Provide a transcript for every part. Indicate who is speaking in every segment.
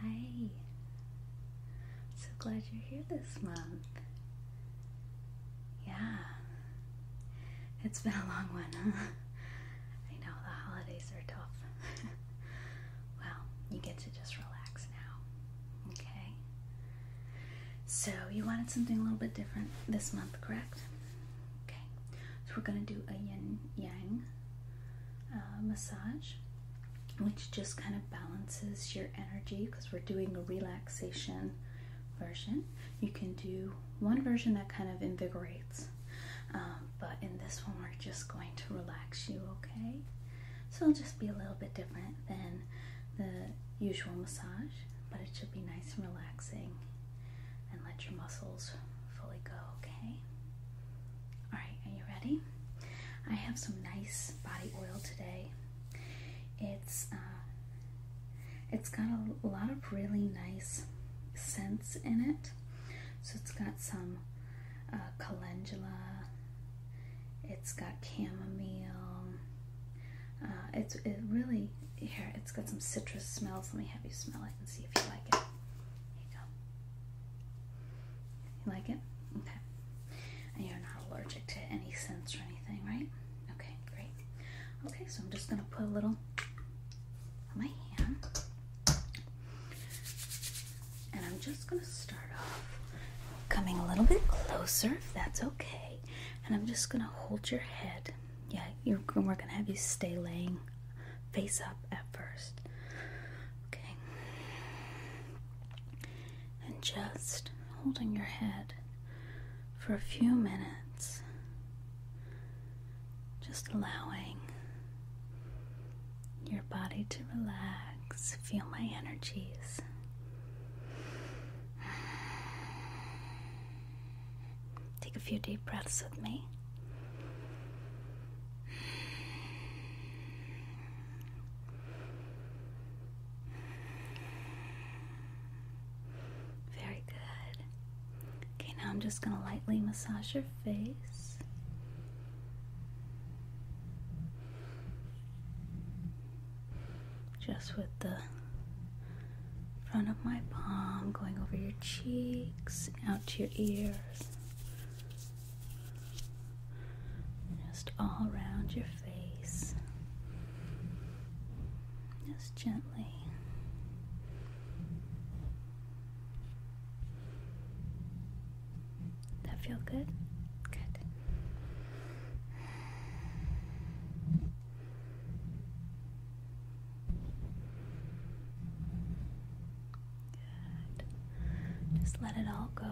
Speaker 1: Hi. So glad you're here this month. Yeah. It's been a long one, huh? I know the holidays are tough. well, you get to just relax now. Okay? So, you wanted something a little bit different this month, correct? Okay. So, we're going to do a yin yang uh, massage, which just kind of balances your energy because we're doing a relaxation version. You can do one version that kind of invigorates, um, but in this one, we're just going to relax you, okay? So it'll just be a little bit different than the usual massage, but it should be nice and relaxing and let your muscles fully go, okay? Alright, are you ready? I have some nice body oil today. It's uh, it's got a lot of really nice scents in it. So it's got some uh, calendula. It's got chamomile. Uh, it's it really here. It's got some citrus smells. Let me have you smell it and see if you like it. Here you go. You like it? Okay. And you're not allergic to any scents or anything, right? Okay, great. Okay, so I'm just going to put a little on my hand. And I'm just going to start off coming a little bit closer, if that's okay. And I'm just going to hold your head. Yeah, you're, we're going to have you stay laying face up at first. Okay. And just holding your head for a few minutes, just allowing your body to relax. Feel my energies. Take a few deep breaths with me. Very good. Okay, now I'm just going to lightly massage your face. Just with the front of my palm, going over your cheeks, out to your ear. Just all around your face. Just gently. That feel good? Good. Just let it all go.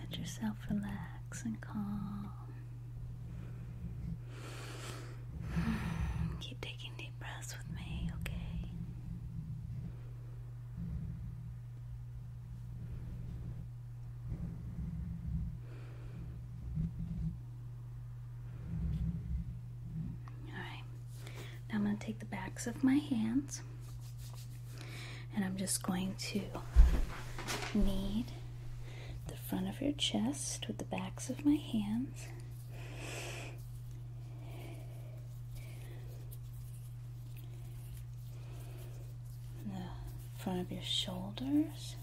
Speaker 1: Let yourself relax and calm. Keep taking deep breaths with me, okay? Alright, now I'm going to take the backs of my hands and I'm just going to knead the front of your chest with the backs of my hands. The front of your shoulders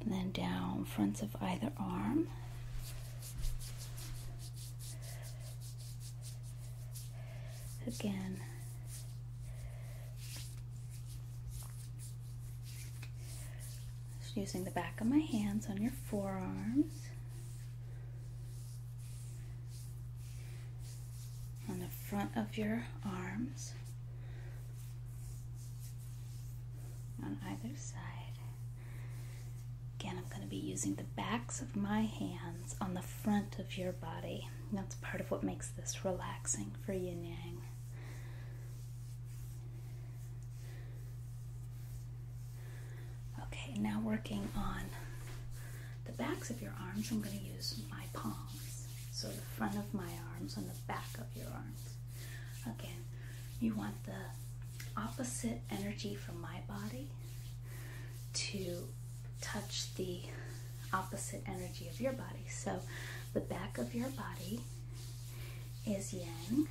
Speaker 1: and then down fronts of either arm. Again. Just using the back of my hands on your forearms. On the front of your arms on either side. Again, I'm going to be using the backs of my hands on the front of your body. That's part of what makes this relaxing for yin yang. Okay, now working on the backs of your arms, I'm going to use my palm. So the front of my arms on the back of your arms. Again, you want the opposite energy from my body to touch the opposite energy of your body. So the back of your body is yang.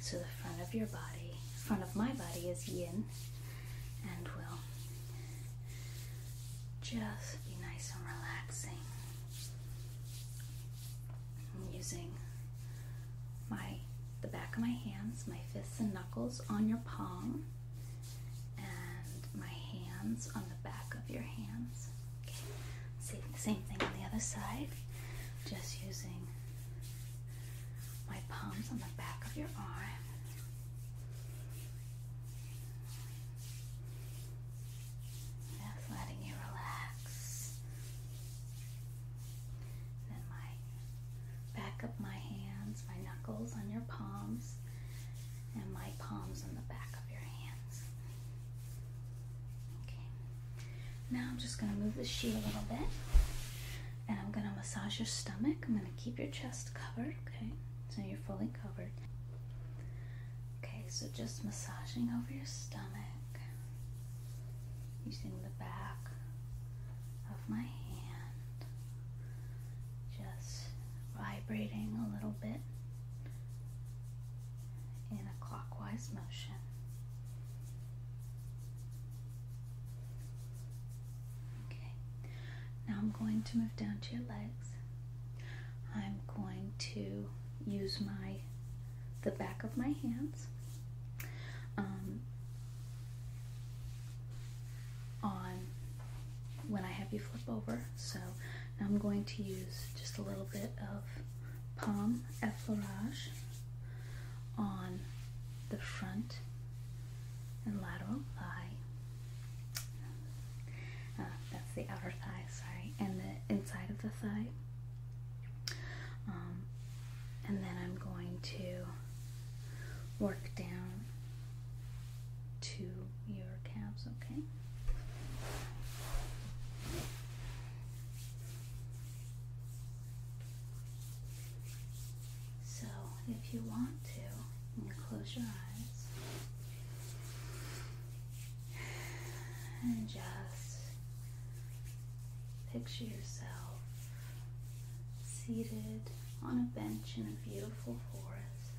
Speaker 1: So the front of your body, front of my body is yin and will just be nice and relaxing. I'm using my the back of my hands, my fists and knuckles on your palm, and my hands on the back of your hands. Okay. same thing on the other side. Just using my palms on the back of your arm. Just letting you relax. then my back of my hands, my knuckles on your palms, and my palms on the back of your hands. Okay. Now I'm just going to move the sheet a little bit. And I'm going to massage your stomach. I'm going to keep your chest covered, okay? So you're fully covered. Okay, so just massaging over your stomach using the back of my hand, just vibrating a little bit in a clockwise motion. Okay, now I'm going to move down to your legs. I'm going to use my the back of my hands um, on when I have you flip over. So I'm going to use just a little bit of Palm Effleurage on the front and lateral eye. Uh, that's the outer thigh, sorry, and the inside of the thigh. Um, and then I'm going to work down to your calves, okay? So, if you want to, you close your eyes. And just picture yourself seated on a bench in a beautiful forest.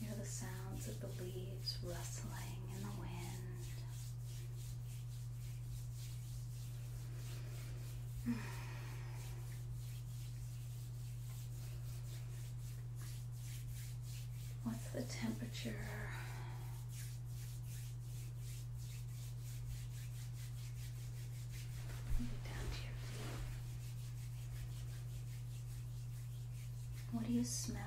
Speaker 1: Hear the sounds of the leaves rustling in the wind. What's the temperature? What do you smell?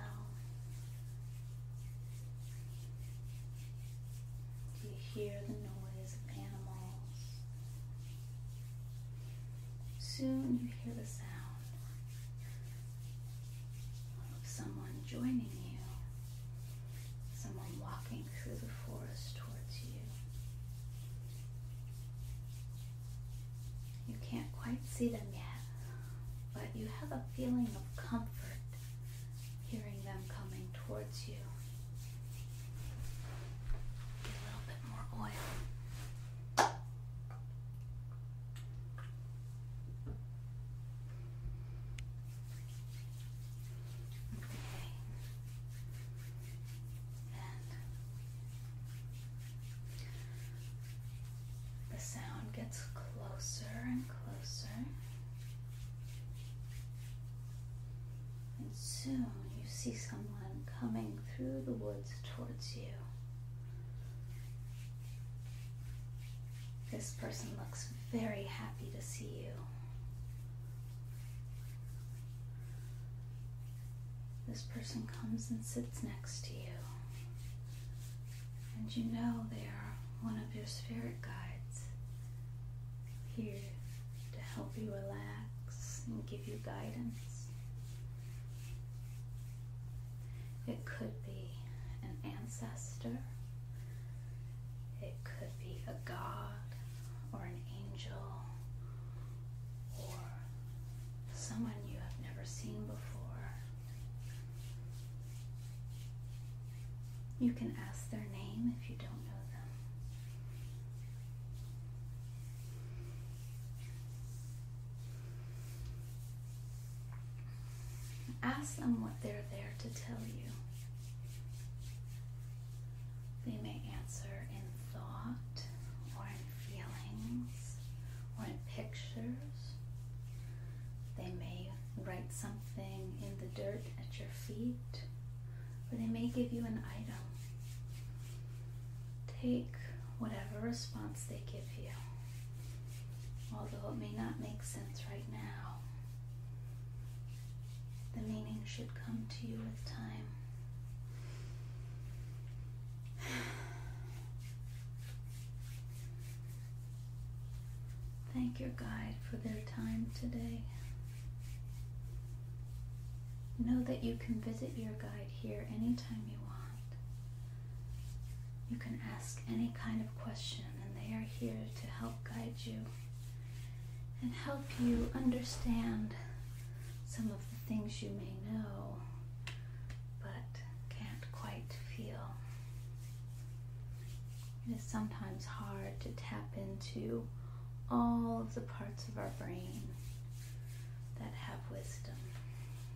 Speaker 1: Do you hear the noise of animals? Soon you hear the sound of someone joining you, someone walking through the forest towards you. You can't quite see them yet, but you have a feeling of comfort hearing them coming towards you. Get a little bit more oil. Okay. And the sound gets closer and closer. And soon you see someone coming through the woods towards you. This person looks very happy to see you. This person comes and sits next to you. And you know they are one of your spirit guides here to help you relax and give you guidance. It could be an ancestor, it could be a god or an angel or someone you have never seen before. You can ask their name if you don't know Ask them what they're there to tell you. They may answer in thought or in feelings or in pictures. They may write something in the dirt at your feet or they may give you an item. Take whatever response they give you, although it may not make sense right now. The meaning should come to you with time. Thank your guide for their time today. Know that you can visit your guide here anytime you want. You can ask any kind of question, and they are here to help guide you and help you understand some of the things you may know but can't quite feel. It is sometimes hard to tap into all of the parts of our brain that have wisdom,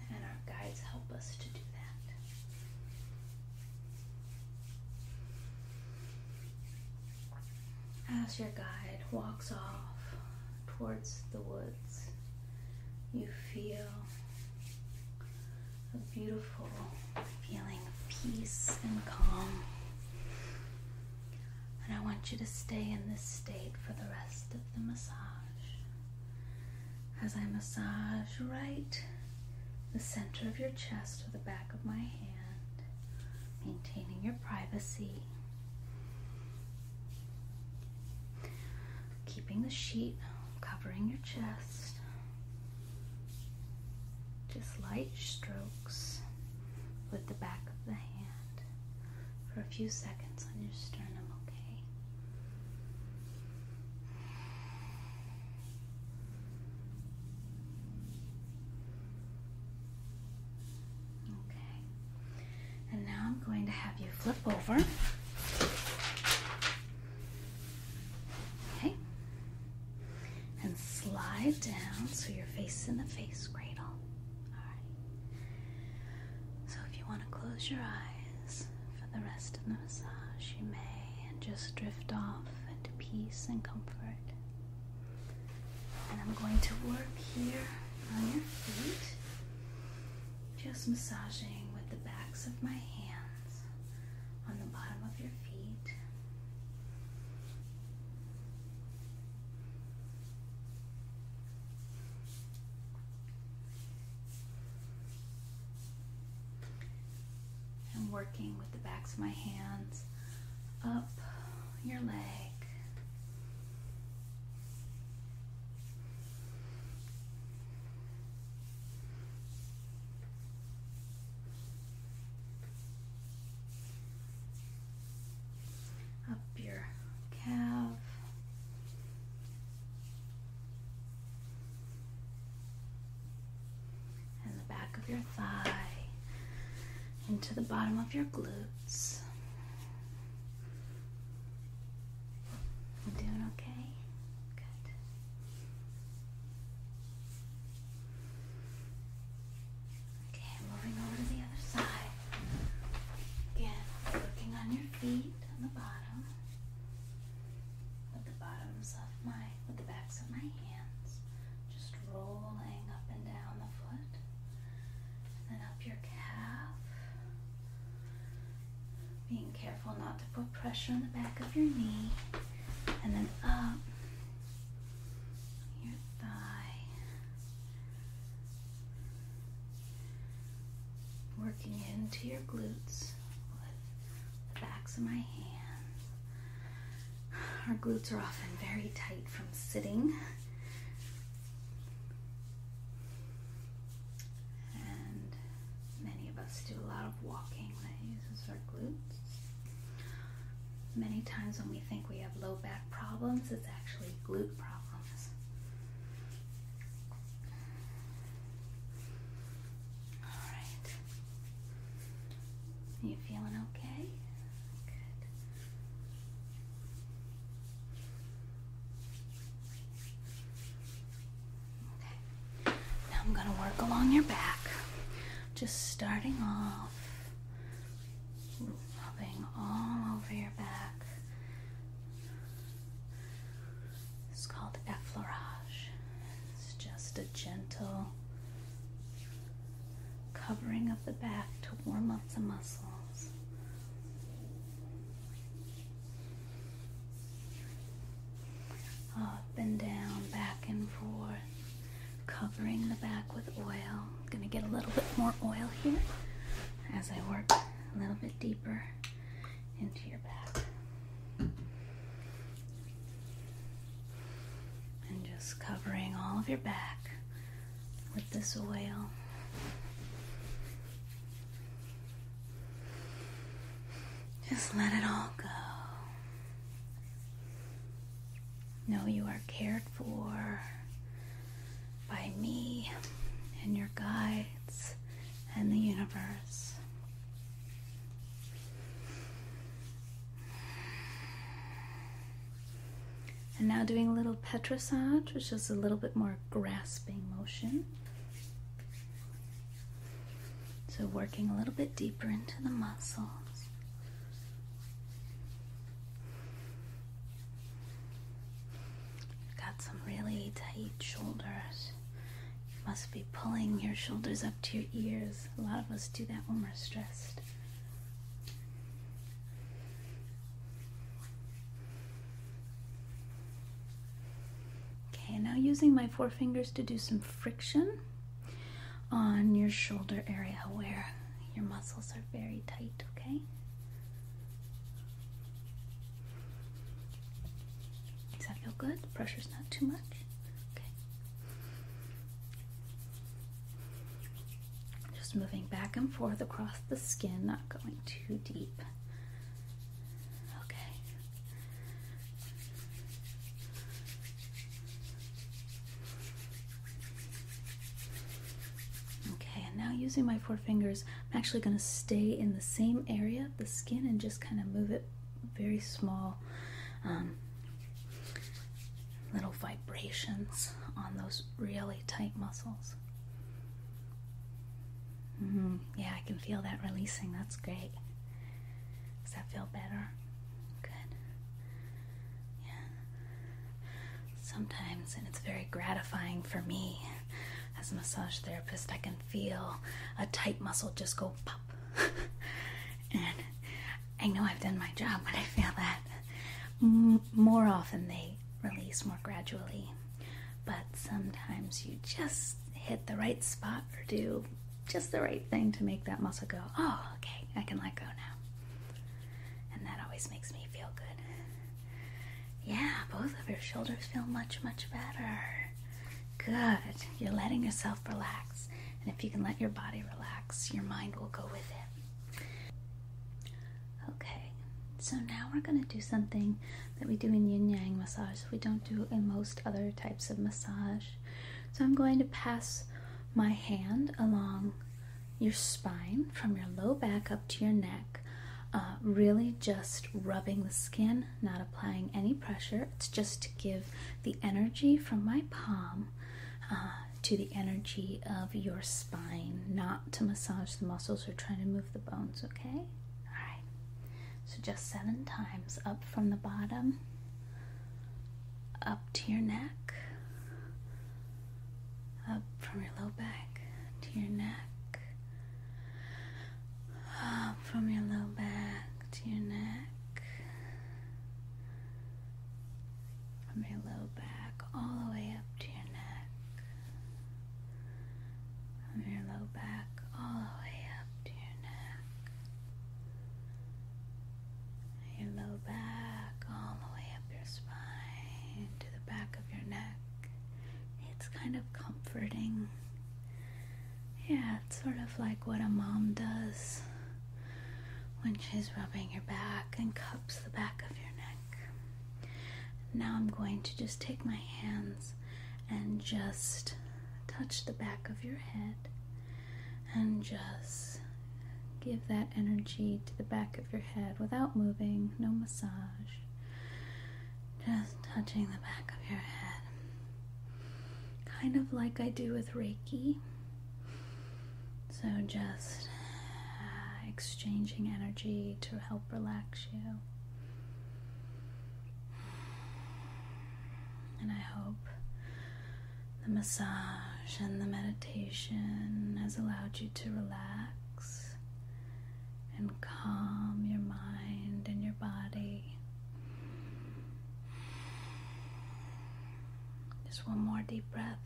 Speaker 1: and our guides help us to do that. As your guide walks off towards the woods, you feel a beautiful feeling of peace and calm. And I want you to stay in this state for the rest of the massage. As I massage right the center of your chest with the back of my hand, maintaining your privacy. Keeping the sheet covering your chest. Just light strokes with the back of the hand for a few seconds on your sternum, okay? Okay. And now I'm going to have you flip over. Okay and slide down so you're facing the face cradle. So if you want to close your eyes for the rest of the massage, you may, and just drift off into peace and comfort. And I'm going to work here on your feet, just massaging with the backs of my hands on the bottom of your feet. I'm working with the backs of my hands up your leg up your calf. And the back of your thigh into the bottom of your glutes. doing okay? Good. Okay, moving over to the other side. Again, working on your feet on the bottom with the bottoms of my with the backs of my hands. Just rolling up and down the foot. then up your calf. Being careful not to put pressure on the back of your knee. And then up your thigh, working into your glutes with the backs of my hands. Our glutes are often very tight from sitting. And many of us do a lot of walking that uses our glutes. Many times when we think we have low back problems, it's actually glute problems. All right. Are you feeling okay? Good. Okay. Now I'm going to work along your back. Just starting off rubbing all over your back. It's called effleurage. It's just a gentle covering of the back to warm up the muscles. Up and down, back and forth covering the back with oil. gonna get a little bit more oil here as I work a little bit deeper into your back. And just covering all of your back with this oil. Just let it all go. Know you are cared for by me and your guides and the universe. And now doing a little petrissage, which is a little bit more grasping motion. So working a little bit deeper into the muscles got some really tight shoulders. You must be pulling your shoulders up to your ears. A lot of us do that when we're stressed. Okay, now using my forefingers to do some friction on your shoulder area where your muscles are very tight, okay? Does that feel good? The pressure's not too much? Okay. Just moving back and forth across the skin, not going too deep. Okay. Okay, and now using my four fingers, I'm actually going to stay in the same area of the skin and just kind of move it very small um, little vibrations on those really tight muscles. Mm-hmm, yeah, I can feel that releasing. That's great. Does that feel better? Good. Yeah. Sometimes, and it's very gratifying for me as a massage therapist, I can feel a tight muscle just go pop. and I know I've done my job, but I feel that more often they release more gradually. But sometimes you just hit the right spot or do just the right thing to make that muscle go, oh, okay, I can let go now. And that always makes me feel good. Yeah, both of your shoulders feel much, much better. Good. You're letting yourself relax. And if you can let your body relax, your mind will go with it. Okay, so now we're going to do something that we do in yin yang massage. We don't do in most other types of massage. So I'm going to pass my hand along your spine from your low back up to your neck, uh, really just rubbing the skin, not applying any pressure. It's just to give the energy from my palm. Uh, to the energy of your spine, not to massage the muscles or trying to move the bones, okay? All right. So just seven times up from the bottom up to your neck, up from your low back to your neck, up from your low back to your neck, from your low back all the way up to your neck, from your low back all the way up to your neck, your low back, all the way up your spine to the back of your neck. It's kind of comforting. Yeah, it's sort of like what a mom does when she's rubbing your back and cups the back of your neck. Now I'm going to just take my hands and just touch the back of your head and just give that energy to the back of your head without moving, no massage. Just touching the back of your head. Kind of like I do with Reiki. So just uh, exchanging energy to help relax you. And I hope the massage and the meditation has allowed you to relax and calm your mind and your body. Just one more deep breath.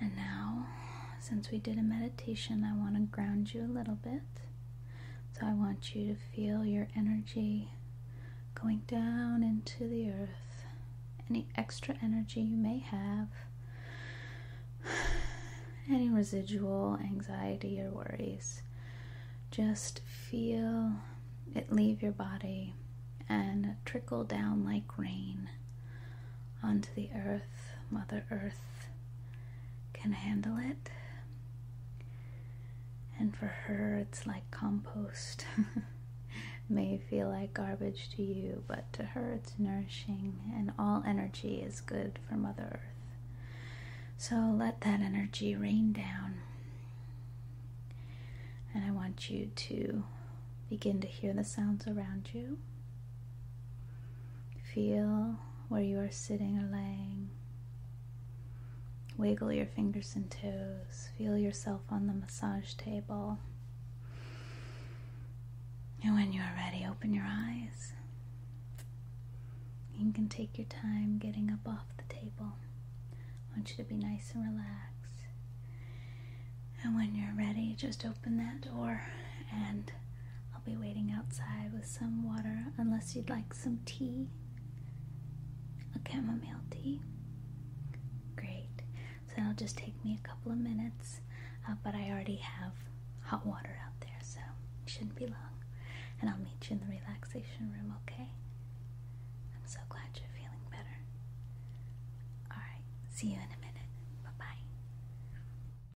Speaker 1: And now, since we did a meditation, I want to ground you a little bit. So I want you to feel your energy going down into the earth. Any extra energy you may have, any residual anxiety or worries, just feel it leave your body and trickle down like rain onto the earth, Mother Earth can handle it. And for her, it's like compost. May feel like garbage to you, but to her, it's nourishing, and all energy is good for Mother Earth. So let that energy rain down. And I want you to begin to hear the sounds around you Feel where you are sitting or laying. Wiggle your fingers and toes. Feel yourself on the massage table. And when you are ready, open your eyes. You can take your time getting up off the table. I want you to be nice and relaxed. And when you're ready, just open that door and I'll be waiting outside with some water unless you'd like some tea. A chamomile tea. Great. So it'll just take me a couple of minutes, uh, but I already have hot water out there, so it shouldn't be long. And I'll meet you in the relaxation room, okay? I'm so glad you're feeling better. Alright, see you in a minute. Bye bye.